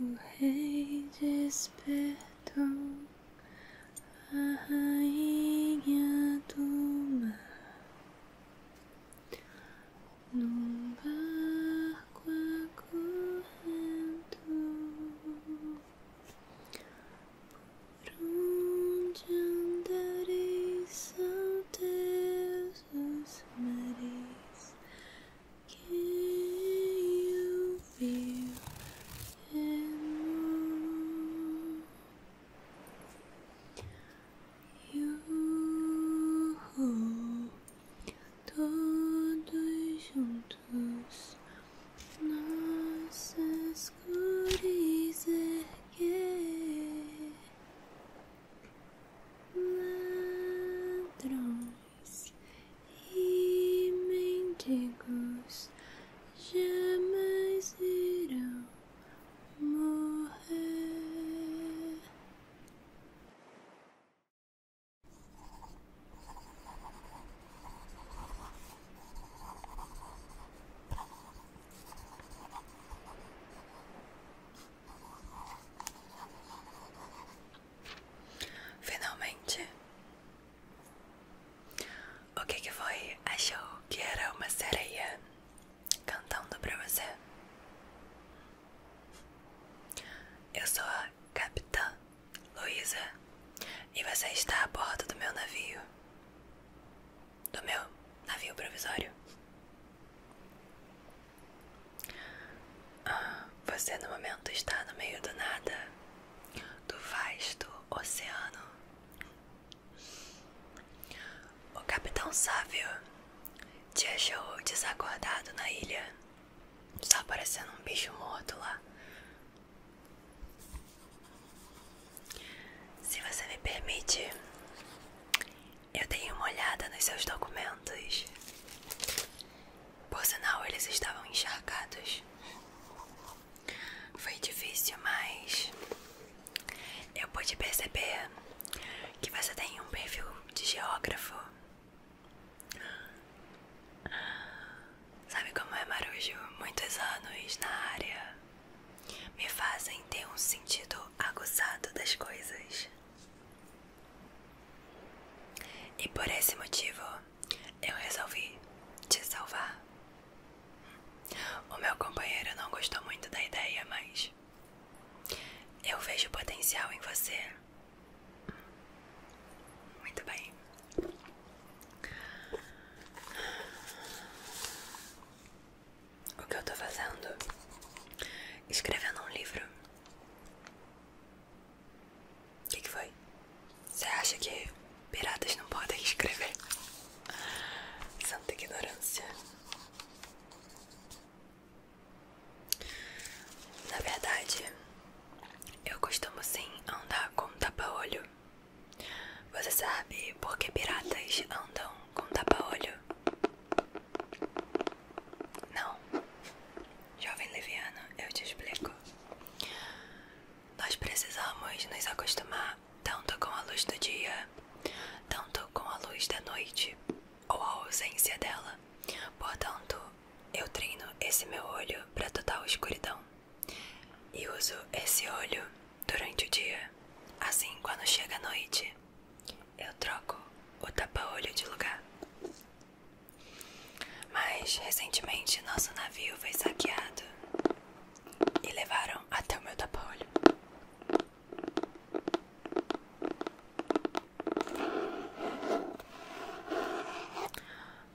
O rei despertou a rainha do mar num barco acorrendo. Por onde andareis são teus os mares Can you feel and you todos juntos nossas cores erguer Ladrões e mendigos jamais irão morrer. Finalmente, o que que foi? Achou que era uma sereia cantando pra você? Eu sou a Capitã Luísa e você está a bordo do meu navio, do meu navio provisório. Ah, você no momento está no meio do nada, do vasto oceano. O capitão Sávio te achou desacordado na ilha, só parecendo um bicho morto lá. Se você me permite, eu dei uma olhada nos seus documentos. Por sinal, eles estavam encharcados. Foi difícil, mas eu pude perceber que você tem um perfil de geógrafo. Sabe como é, Marujo? Muitos anos na área me fazem ter um sentido aguçado das coisas. E por esse motivo eu resolvi te salvar. O meu companheiro não gostou muito da ideia, mas eu vejo potencial em você. Muito bem. O que eu tô fazendo? Escrevendo um livro. O que, que foi? Você acha que piratas não podem escrever? Santa ignorância. Na verdade, eu costumo sim andar com tapa-olho. Você sabe por que piratas andam com tapa-olho? Não, jovem leviano, eu te explico. Nós precisamos nos acostumar tanto com a luz do dia, tanto com a luz da noite ou a ausência dela. Portanto, eu treino esse meu olho para total escuridão e uso esse olho durante o dia. Assim, quando chega a noite, eu troco o tapa-olho de lugar. Mas recentemente nosso navio foi saqueado e levaram até o meu tapa-olho.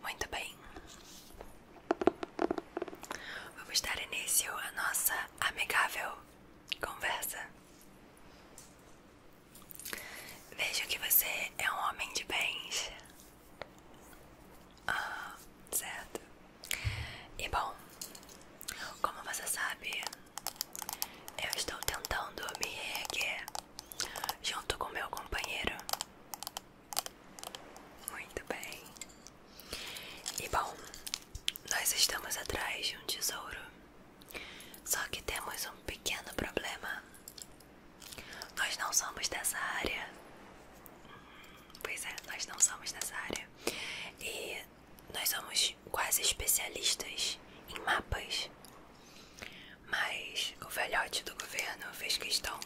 Muito bem. Vamos dar início à nossa amigável Conversa. Vejo que você é um homem de bens. Ah, certo. E bom, como você sabe, eu estou tentando me reerguer junto com meu companheiro. Muito bem. E bom, nós estamos atrás de um tesouro. Só que temos um pequeno problema. Nós não somos dessa área. Pois é, nós não somos dessa área. E nós somos quase especialistas em mapas. Mas o velhote do governo fez questão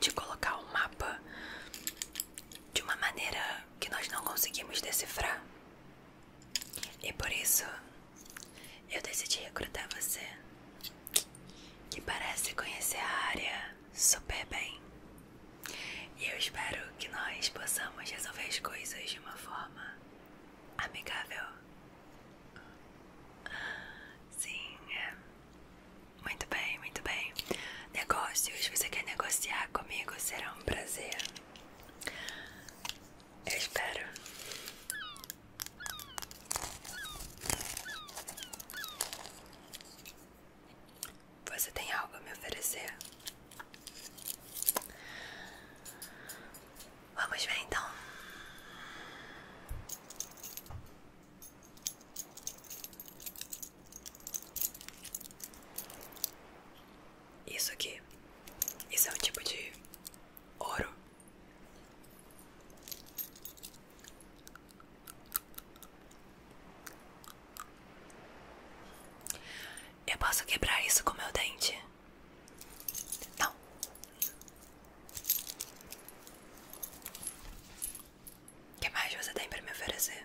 de colocar um mapa de uma maneira que nós não conseguimos decifrar. E por isso eu decidi recrutar você, que parece conhecer a área super bem. E eu espero que nós possamos resolver as coisas de uma forma amigável. Sim, é. muito bem, muito bem negócios, você quer negociar comigo, será um prazer. Eu espero. Você tem algo a me oferecer? Vamos ver então. Isso aqui. Isso é um tipo de ouro. Eu posso quebrar isso com meu dente? Não. O que mais você tem para me oferecer?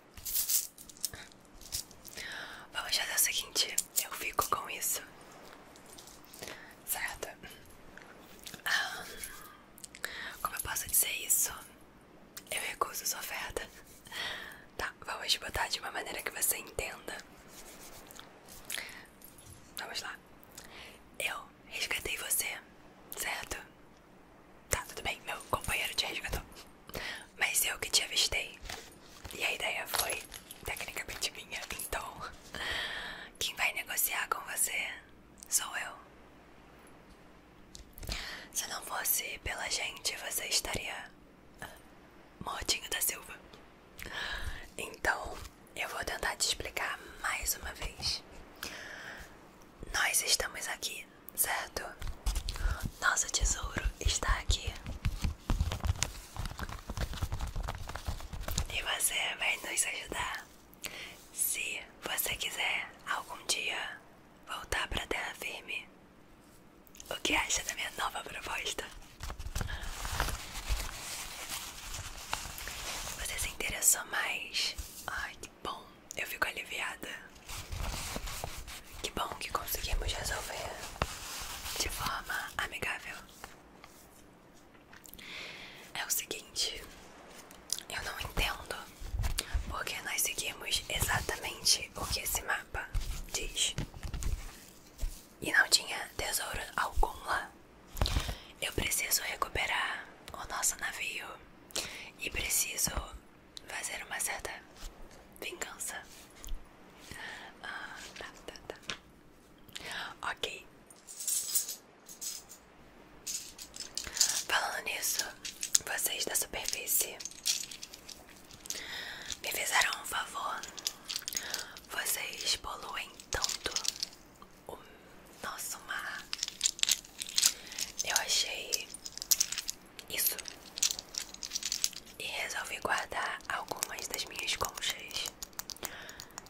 Vamos fazer o seguinte, eu fico com isso, certo? Ah, como eu posso dizer isso? Eu recuso sua oferta. Tá, vamos botar de uma maneira que você entenda. Vamos lá. Eu resgatei você, certo? Tá, tudo bem, meu companheiro te resgatou. Mas eu que te avistei. E a ideia foi tecnicamente minha, então. Quem vai negociar com você sou eu. Se não fosse pela gente, você estaria. Mortinho da Silva. Então, eu vou tentar te explicar mais uma vez. Nós estamos aqui certo? Nosso tesouro está aqui. E você vai nos ajudar. Se você quiser algum dia voltar para terra firme, o que acha da minha nova proposta? Você se interessou mais? Ai, bom, eu fico aliviada. Que bom que conseguimos resolver de forma amigável. É o seguinte, eu não entendo porque nós seguimos exatamente o que esse mapa diz. E não tinha tesouro algum lá. Eu preciso recuperar o nosso navio e preciso fazer uma certa vingança. Ah, tá, tá, tá. Ok. Falando nisso, vocês da superfície me fizeram um favor. Vocês poluem tanto o nosso mar. Eu achei isso e resolvi guardar algumas das minhas conchas.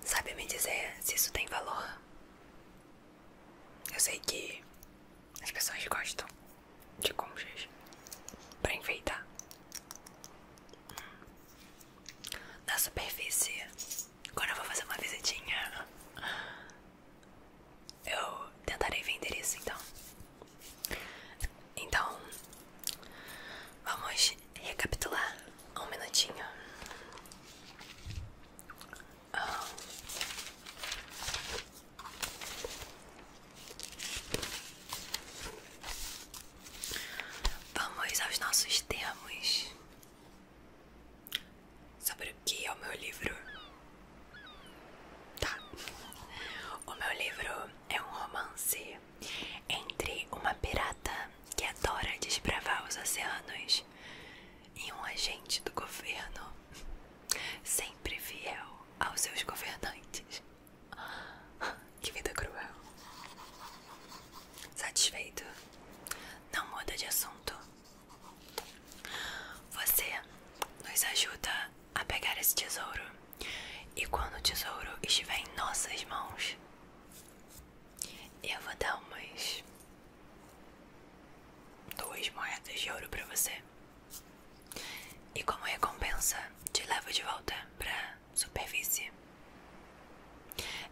Sabe me dizer se isso tem valor? Eu sei que as pessoas gostam de conchas para enfeitar. Na superfície, quando eu vou fazer uma visitinha, eu tentarei vender isso então. Então, vamos recapitular um minutinho. Vamos aos nossos termos Sobre o que é o meu livro? Tá. O meu livro é um romance entre uma pirata que adora desbravar os oceanos e um agente do governo, sempre fiel aos seus governantes. Que vida cruel. Satisfeito? Não muda de assunto. Você nos ajuda a pegar esse tesouro, e quando o tesouro estiver em nossas mãos, eu vou dar umas duas moedas de ouro para você. E como recompensa, te levo de volta para superfície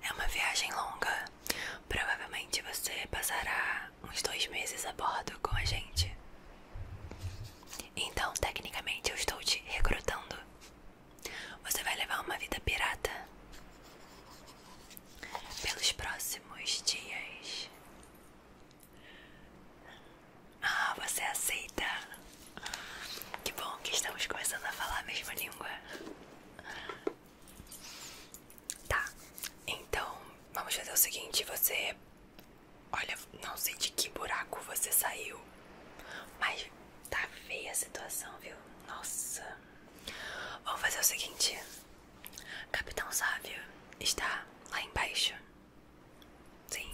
é uma viagem longa. Provavelmente você passará uns dois meses a bordo com a gente. Então, tecnicamente, eu estou te recrutando. Você vai levar uma vida pirata pelos próximos dias. Ah, você aceita? Que bom que estamos começando a falar a mesma língua. Tá, então vamos fazer o seguinte: você. Olha, não sei de que buraco você saiu, mas tá feia a situação, viu? Nossa. Vamos fazer o seguinte: Capitão Sábio está lá embaixo. Sim.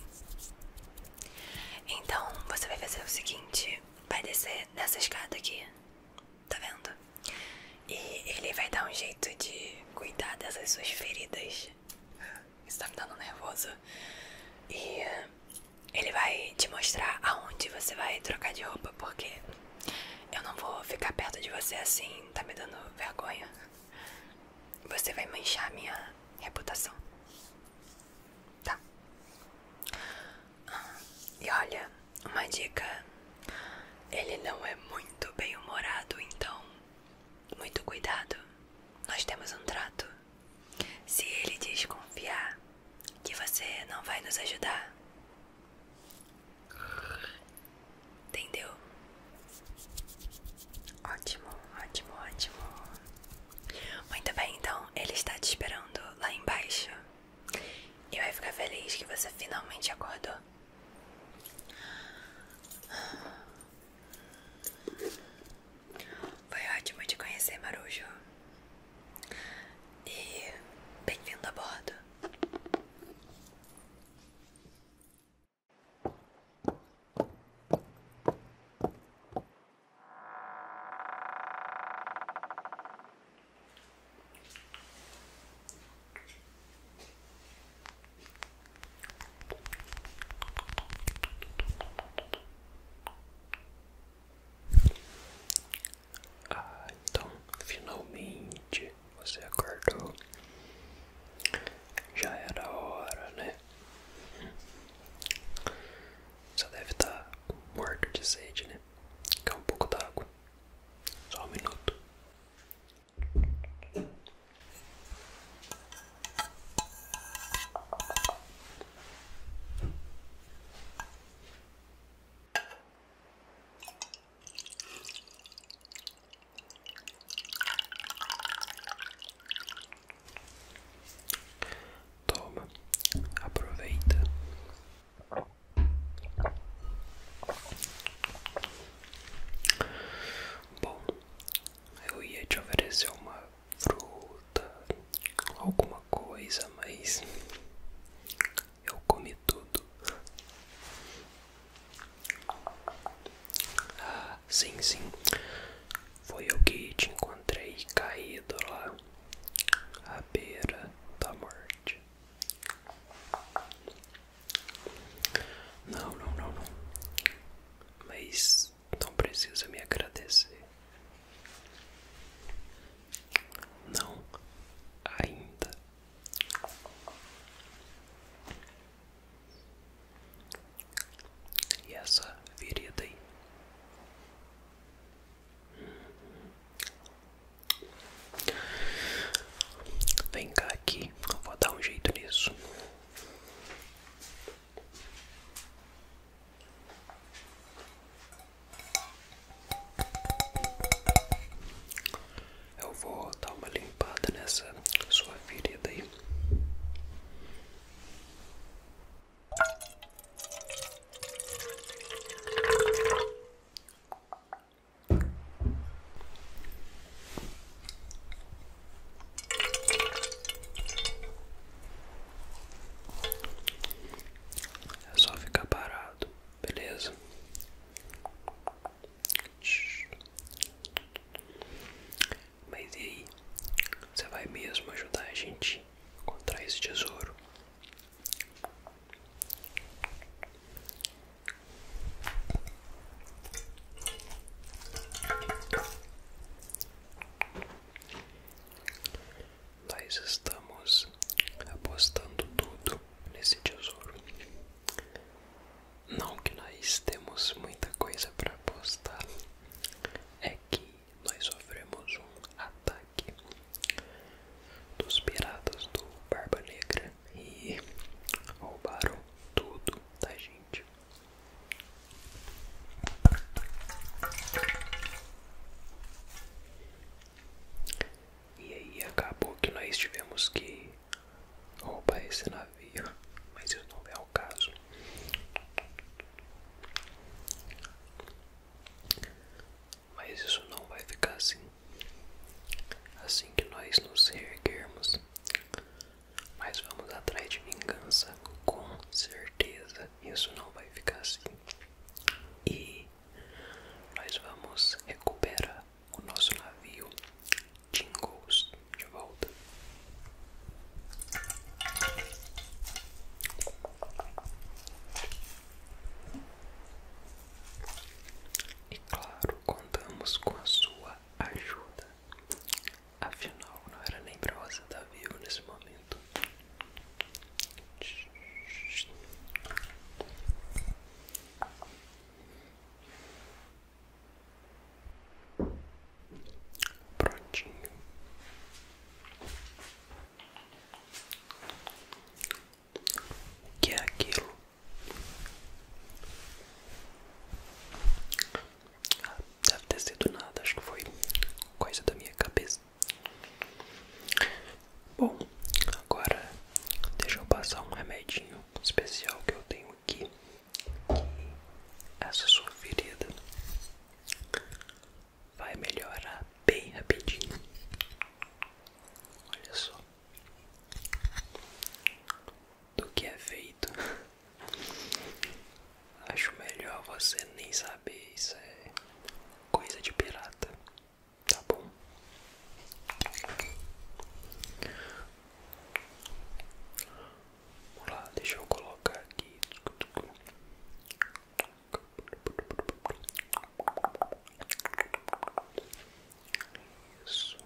Então você vai fazer o seguinte: vai descer nessa escada aqui tá vendo? E ele vai dar um jeito de cuidar dessas suas feridas. Isso tá me dando nervoso. E eh, ele vai te mostrar aonde você vai trocar de roupa, porque eu não vou ficar perto de você assim, tá me dando vergonha. Você vai manchar minha reputação. Tá. E olha, uma dica: ele não é muito bem-humorado, então, muito cuidado. Nós temos um trato. Se ele desconfiar que você não vai nos ajudar, entendeu? Ótimo, ótimo, ótimo. Muito bem, então ele está te esperando lá embaixo. Eu vai ficar feliz que você finalmente acordou. Foi ótimo te conhecer, Marujo. E bem-vindo a bordo. Ah, então finalmente você acordou. Já era hora, né? Você deve estar tá morto de sede, né? né? Quer é um pouco d'água? Só um minuto. Toma, aproveita. Bom, eu ia te oferecer uma fruta, alguma coisa, mas eu comi tudo. Ah, sim, sim. Foi eu que te encontrei caído lá à beira da morte. Não, não, não, não. Mas não precisa me agradecer. Não, ainda. E essa viria daí. Vem cá aqui, vou dar um jeito nisso. Eu vou dar uma limpada nessa sua ferida aí. É só ficar parado, beleza? Mas e aí? Você vai mesmo ajudar a gente contra esse tesouro. Nós estamos apostando tudo nesse tesouro. Não que nós temos muita coisa para apostar, é que nós sofremos um ataque dos piratas do Barba Negra e roubaram tudo da gente. E aí acabou que nós tivemos que roubar esse navio, mas isso não é caso. Mas isso não vai ficar assim. Assim que nós nos reerguermos, mas vamos atrás de vingança, com certeza. Isso não vai ficar assim. E nós vamos recuperar o nosso navio de Jingles de volta. E claro, contamos com a sua ajuda. Afinal, não era nem pra você estar tá nesse momento. Prontinho que é aquilo? Ah, deve ter sido nada, acho que foi coisa da minha cabeça. Bom, agora deixa eu passar um remedinho especial que eu tenho aqui. essa sua ferida vai melhorar bem rapidinho. Olha só do que é feito. Acho melhor você nem saber, isso é coisa de pirata, tá bom? Vamos lá, deixa eu colocar aqui. Isso.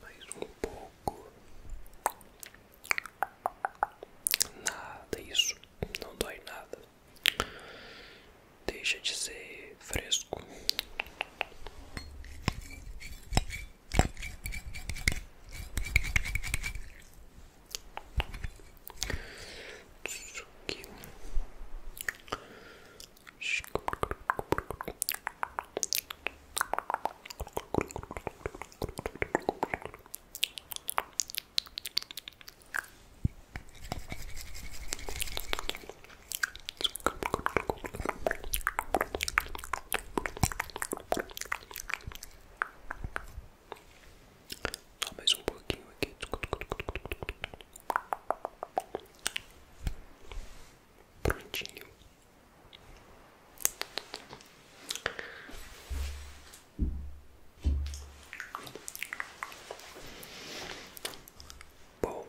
Mais um pouco. Nada, isso não dói nada. Deixa de ser fresco. Só mais um pouquinho aqui. Prontinho. Bom,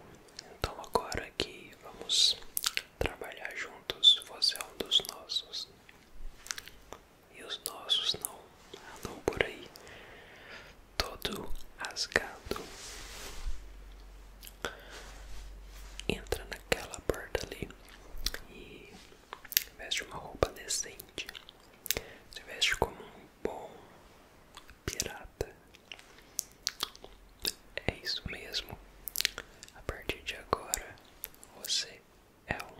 então agora que vamos trabalhar juntos, você é um dos nossos. E os nossos não andam por aí todo rasgado. Entra naquela porta ali e Veste uma roupa decente. Se veste como um bom pirata. É isso mesmo. A partir de agora, você é um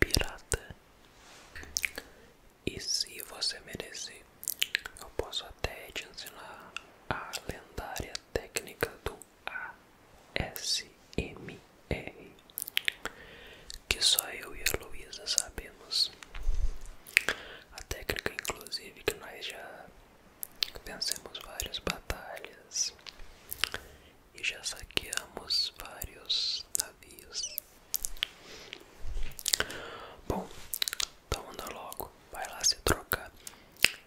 pirata. E se você merecer, eu posso até te ensinar a lendária técnica do ASMR é que só eu e a Luísa sabemos. A técnica, inclusive, que nós já vencemos várias batalhas e já saqueamos vários navios. Bom, então anda logo, vai lá se trocar,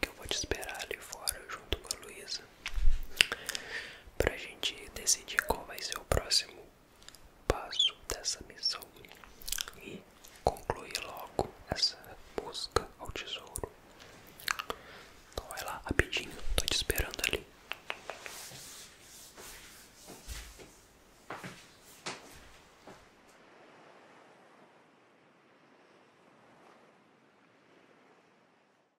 que eu vou te esperar ali fora junto com a Luísa beleza? Pra gente decidir qual vai ser o próximo passo dessa missão e concluir logo essa busca ao tesouro. Então vai lá rapidinho, tô te esperando ali.